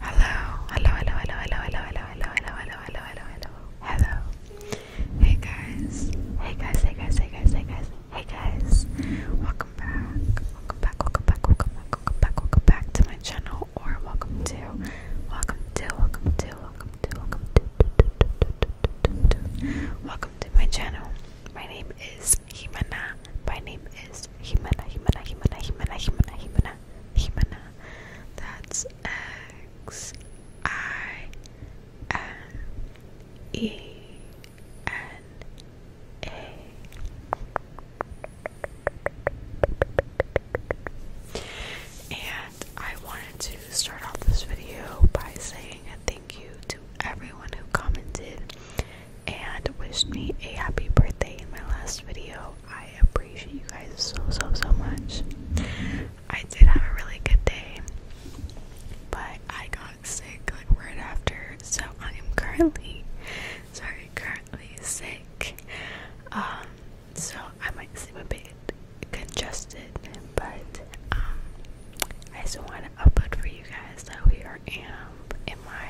Hello, hello, hello, hello, hello, hello, hello, hello, hello, hello, hello, hello, hey guys, hey guys, hey guys, hey guys, hey guys. Welcome back, welcome back, welcome back, welcome back, welcome back, welcome back to my channel, or welcome to, welcome to, welcome to, welcome to, welcome to, welcome to my channel. My name is Himana. My name is Himana, Himana, Himana, Himana, Himana, Himana. Himena, That's X I N E N A. And I wanted to start off this video by saying a thank you to everyone who commented and wished me a happy birthday in my last video. I appreciate you guys so, so, so much. I did have a really good day, but I got sick like right after, so I am currently, sorry, currently sick. Um, so I might seem a bit congested, but um, I just want to upload for you guys that we are and in my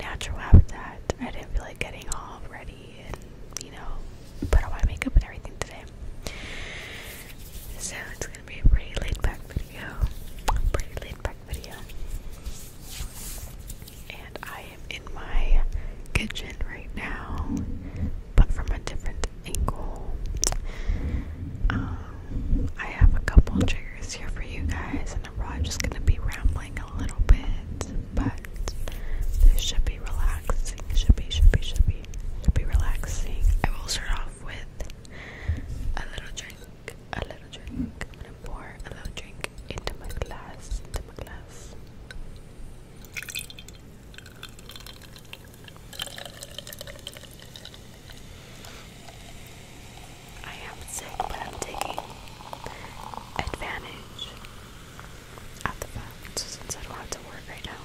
natural habitat. I didn't feel like getting all ready and, you know, put on my makeup and everything today. So it's gonna be a pretty laid back video. Pretty laid back video. And I am in my kitchen right now, but from a different angle. Um, I have a couple triggers here for you guys. I'm just gonna be rambling a little bit, but this should be relaxing. Should be, should be, should be, should be relaxing. I will start off with a little drink. A little drink. i pour a little drink into my glass. Into my glass. I am sick, but I'm taking advantage of the fact since I don't have to work right now.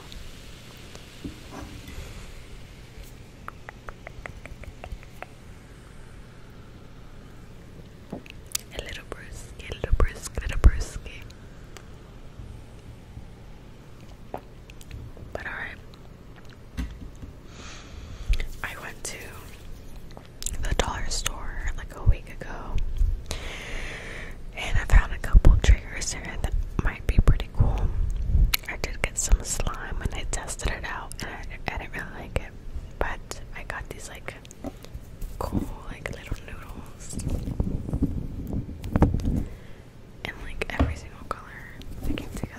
A little brisky, a little brisky, a little brisky. But alright. I went to the dollar store like a week ago and I found a couple triggers here that might be pretty cool. I did get some slime and I tested it out and I, I didn't really like it, but I got these like cool like little noodles. And like every single color.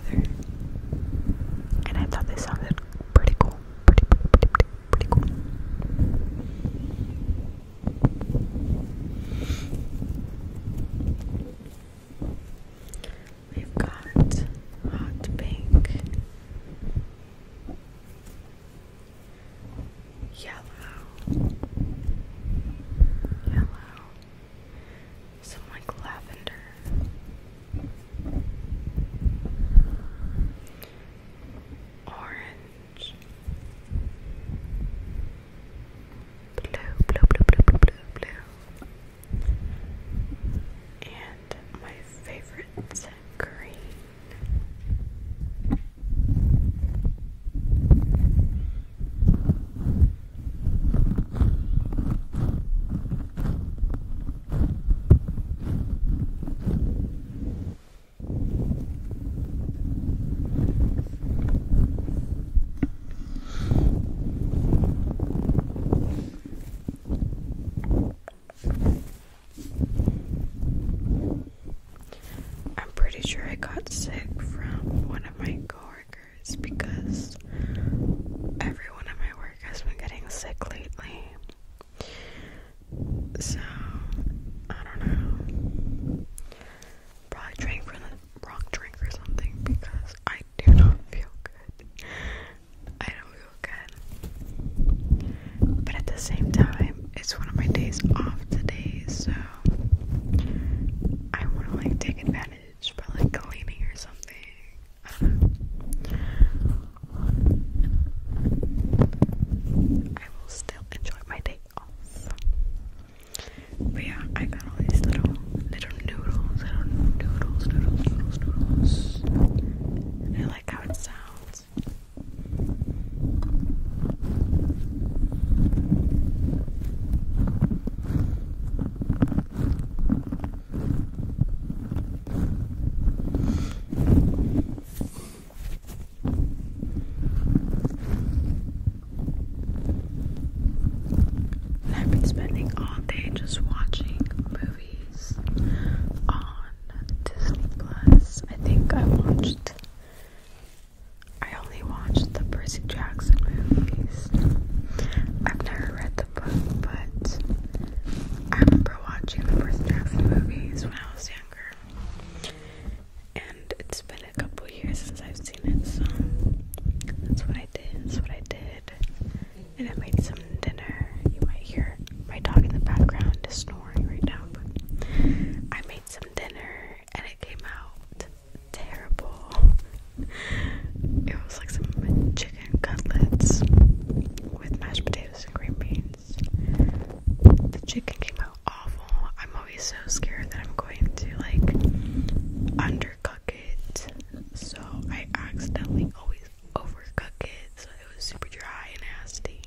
And I thought they sounded pretty cool. pretty cool. We've got hot pink, yellow, yellow, some like lavender. Orange. Blue, blue, blue, blue, blue, blue, And my favorite's green. I'm pretty sure I got sick from one of my coworkers because everyone at my work I've been getting sick lately. So, I don't know. Probably drank from the wrong drink or something because I do not feel good. I don't feel good. But at the same time, it's one of my days off today, so I want to like take advantage by like cleaning or something. I will still enjoy my day off. But yeah, I got all these little little noodles, little noodles, noodles, noodles, noodles. I like how it sounds. I've been spending all day just watching movies on Disney Plus. I think I watched I only watched the Percy Jackson movies. I've never read but I remember watching the first Jackson movies when I was younger. And it's been a couple years since I've seen it, so that's what I did. That's what I did. And I made some dinner. You might hear my dog in the background snoring right now, but I made some dinner and it came out terrible it was like some chicken cutlets with mashed potatoes and green beans. The chicken came out awful. I'm always so scared that I'm going to like undercook it, so I accidentally always overcook it, so it was super dry and nasty.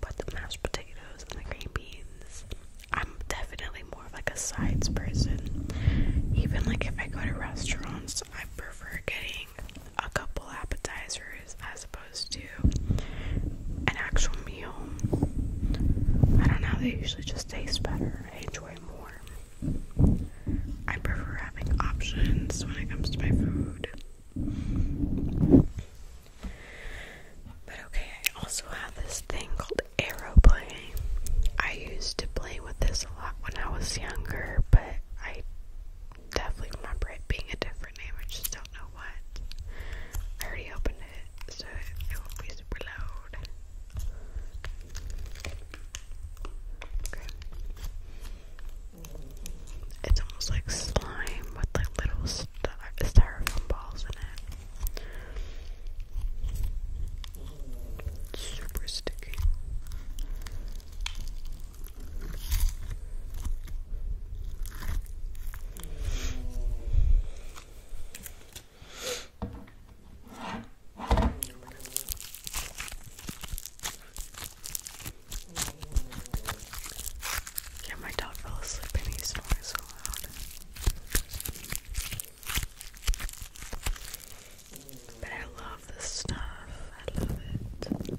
But the mashed potatoes and the green beans, I'm definitely more of like a sides person. Even like if I go to restaurants, I prefer getting a couple appetizers as opposed to an actual meal. I don't know, they usually just taste better. I enjoy more. I prefer having options when it comes to my food. But okay, I also have this thing called aeroplane. I used to play with this a lot when I was younger, but I definitely remember it being a different name. I just don't know what. I already opened it, so it will be super loud. It's almost like slime with like little styrofoam balls in it. Super sticky. Yeah, my dog fell asleep and he snored so loud. But I love this stuff. I love it.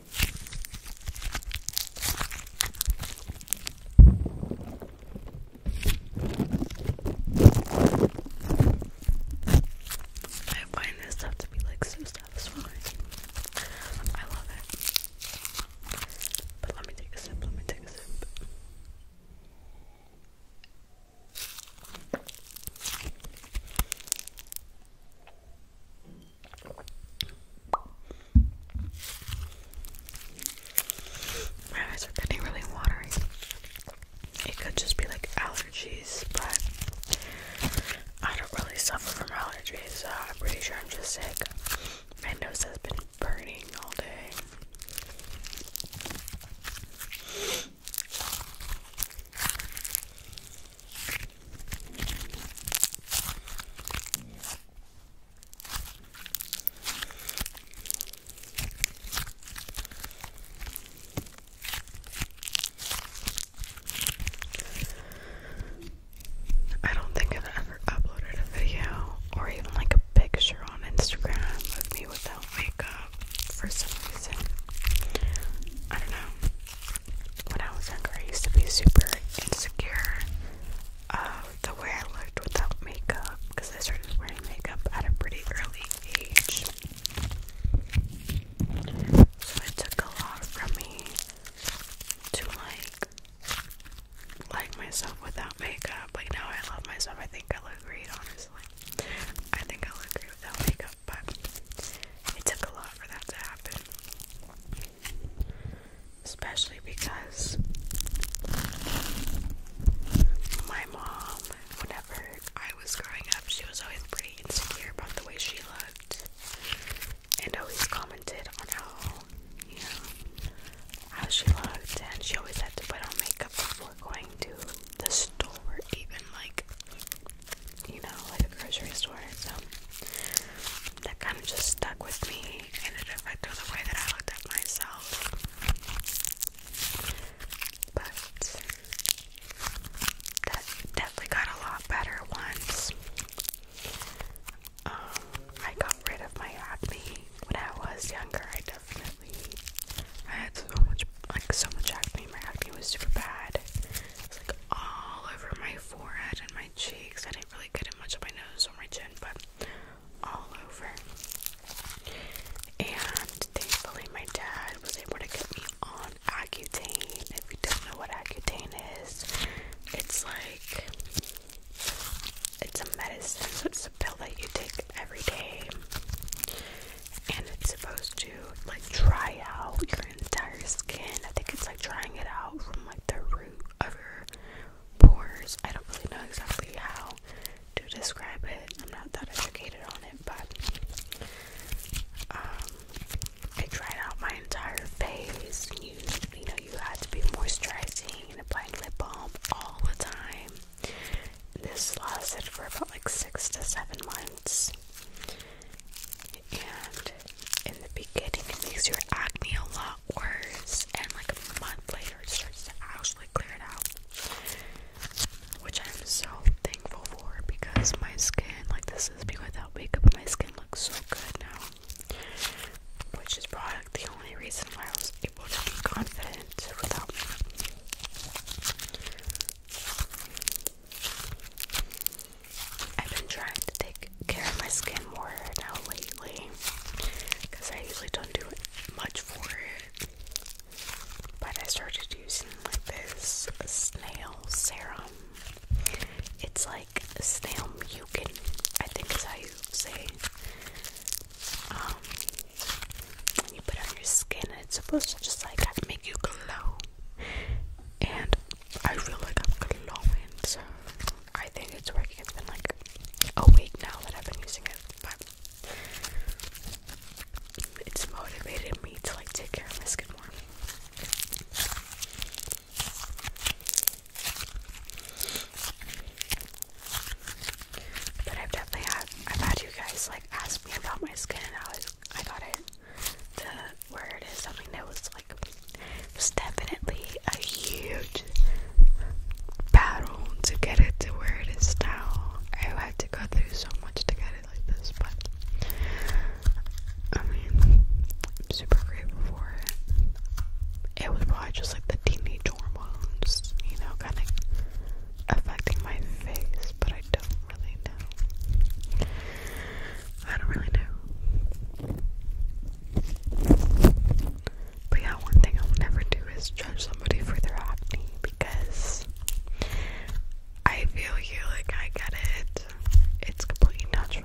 I find this stuff to be like so satisfying. I love it. But let me take a sip, let me take a sip. My eyes are getting really watery. It could just be like allergies, but I don't really suffer from allergies, so I'm pretty sure I'm just sick. My nose has been burning all day. I don't think I've ever uploaded a video or even like a picture on Instagram of me without makeup for some reason. I don't know when I was younger, I used to be super insecure the way I looked without makeup because I started wearing makeup at a pretty early age. So it took a lot from me to like like myself without makeup. Like now I love myself. I think I look great, honestly. I think I look great without makeup but it took a lot for that to happen. Especially because my mom, whenever I was growing up, she was always pretty insecure about the way she looked and always commented on how, you know, how she looked, and she always had to put on makeup before going to the store, even like you know, like a grocery store. So that kind of just stuck with me and it affected the way that I looked at myself. But that definitely got a lot better once um, I got rid of my acne when I was younger. I definitely I had so much like so much acne. My acne was super bad. It like all over my forehead and my cheeks. I didn't really get it much on my nose or my chin, but all over. And thankfully, my dad was able to get me on Accutane. If you don't know what Accutane is, it's like it's a medicine. it's a pill that you take every day and it's supposed to like dry out your entire skin. I think it's like drying it out from like the root of your pores. I don't really know exactly how to describe it. I'm not that educated on it, but um, I it dried out my entire face. You, you know, you had to be moisturizing and applying lip balm all the time. This lasted for about like six to seven months. And in the beginning, it makes your acne a lot worse, and like a month later, it starts to actually clear it out. Which I'm so thankful for because my skin, like, this is me without makeup, but my skin looks so good now. Which is probably the only reason why I was able to be confident without makeup. I've been trying to take care of my skin more now lately because I usually don't do much for it. But I started using like this snail serum. It's like snail mucin, I think is how you say. Um, you put on your skin, it's supposed to just like make you glow. And I feel like I'm glowing, so I think it's working. It's been like a week now that I've been using it, but it's motivated me to like take care of my skin more. But I've definitely had I've had you guys like ask me about my skin and I was I got it. The word is something that was like it was definitely a huge battle to get it to where it is now. I had to go through so much to get it like this, but I mean, I'm super grateful for it. It was probably just like the teenage hormones, you know, kind of affecting my face, but I don't really know. I don't really know. But yeah, one thing I will never do is judge somebody for their acne because I feel you, like, I get it. It's completely natural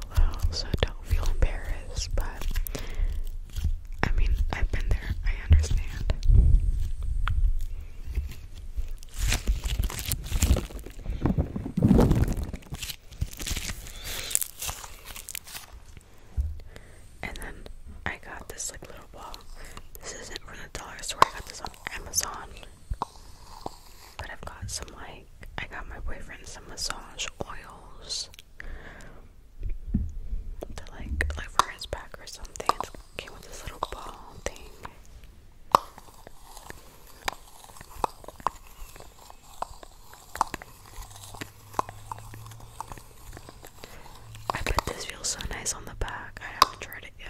so don't feel embarrassed, but I mean, I've been there, I understand. And then I got this like little ball. This isn't from the dollar store. I got this on Amazon. But I've got some like I got my boyfriend some massage oils to like like for his back or something. Came with this little ball thing. I bet this feels so nice on the back. I haven't tried it yet,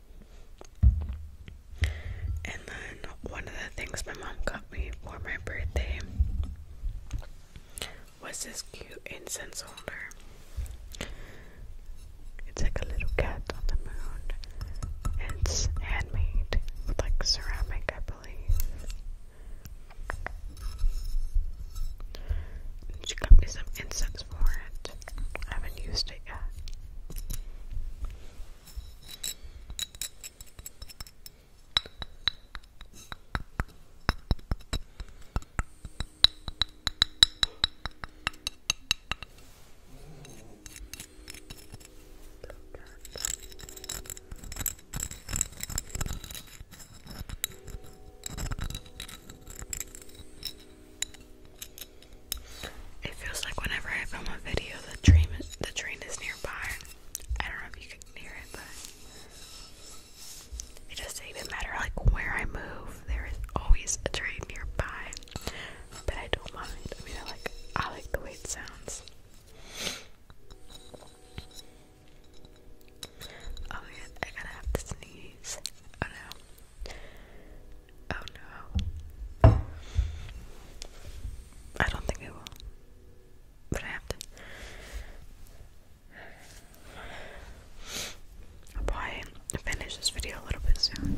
And then one of the things my mom got me for my birthday was this cute incense holder. It's like a little cat on the moon. it's handmade with like ceramic, I believe. she got me some incense for it. I haven't used it yet. It feels like whenever I film a video, the train the train is nearby. I don't know if you can hear it, but it doesn't even matter like where I move. There is always a train nearby, but I don't mind. I mean, I like I like the way it sounds. Oh yeah, I gotta have to sneeze. Oh no. Oh no. I don't think I will. But I have to. I'll probably finish this video a little bit soon.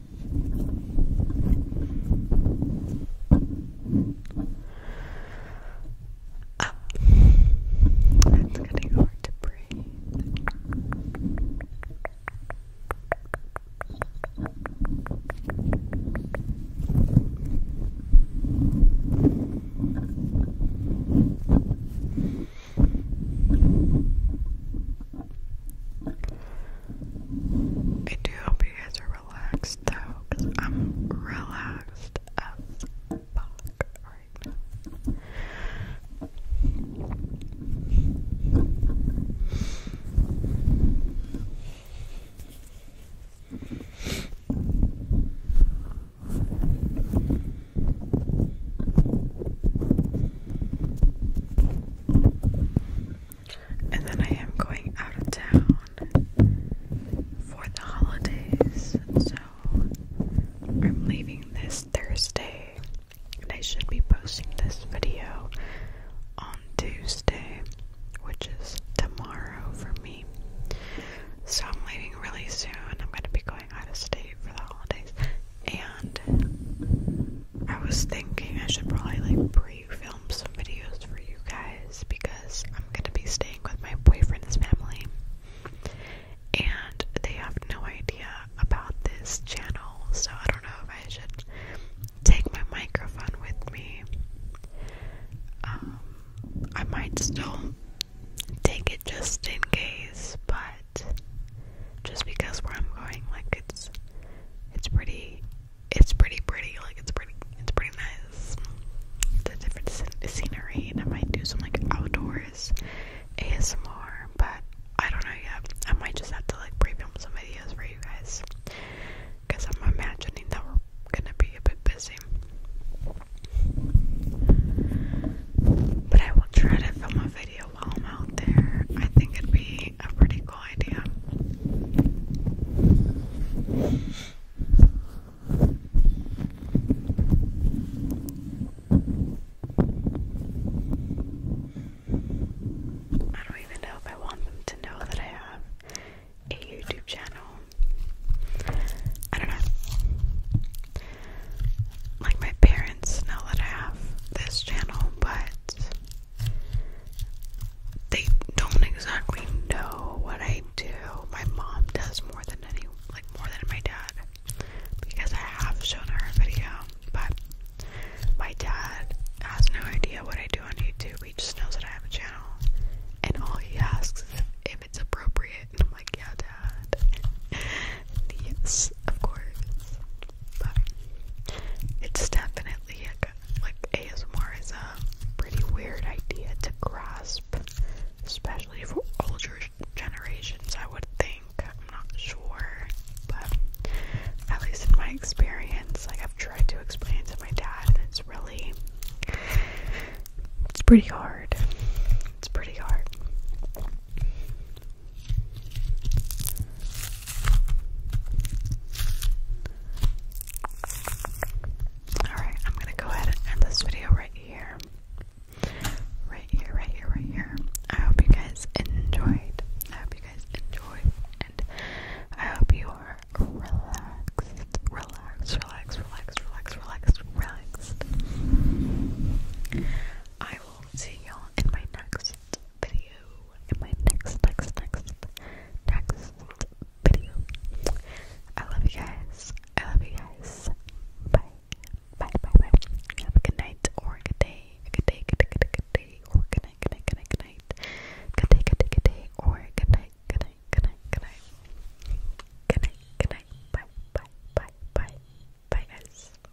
Up. That's getting hard to breathe. Up. I do hope you guys are relaxed though, because I'm relaxed as fuck right now. And then I am going out of town for the holidays, so I'm leaving this Thursday, and I should be posting this video on Tuesday, which is tomorrow for me. So I'm leaving really soon. I'm going to be going out of state for the holidays and I was thinking I should probably like pre-film some videos for you guys because I'm gonna be staying with my boyfriend's family and they have no idea about this channel so I don't know if I should take my microphone with me. Um I might still take it just in case, but just because where I'm going, like it's it's pretty it's pretty pretty, like it's pretty it's pretty nice. The different scenery, and I might do some like outdoors ASMR, but I don't know yet. I might just have to like pre some videos for you guys, because I'm imagining that we're gonna be a bit busy. But I will try to film a video palm out there. I think it'd be a pretty cool idea. I don't even know if I want them to know that I have a YouTube channel. I don't know. Like, my parents know that I have this channel, but they don't exactly know what I do. My mom does more than any like more than my dad because I have shown her a video, but my dad has no idea what I do on YouTube. He just knows that I have a channel, and all he asks is if it's appropriate. And I'm like, yeah, dad. Yes, of course. But it's definitely a, like ASMR is a pretty weird idea to grasp, especially for older generations, I would think. I'm not sure, but at least in my experience, like I've tried to explain to my dad, it's really, it's pretty hard. It's pretty hard. Alright, I'm gonna go ahead and end this video right here. Right here, right here, right here. I hope you guys enjoyed. I hope you guys enjoyed. And I hope you are relaxed. Relaxed, relaxed, relaxed, relaxed, relaxed, relaxed. I will see y'all in my next video, in my next, next, next, next video. I love you guys. I love you guys. Bye. Bye, bye, bye. Have a good night or a good day. A good day, good day, good day, good day, or good night, good night, good night, good night. Good day, good day, good day, or good night, good night, good night, good night. Good night, good night. Bye, bye, bye, bye. Bye, guys.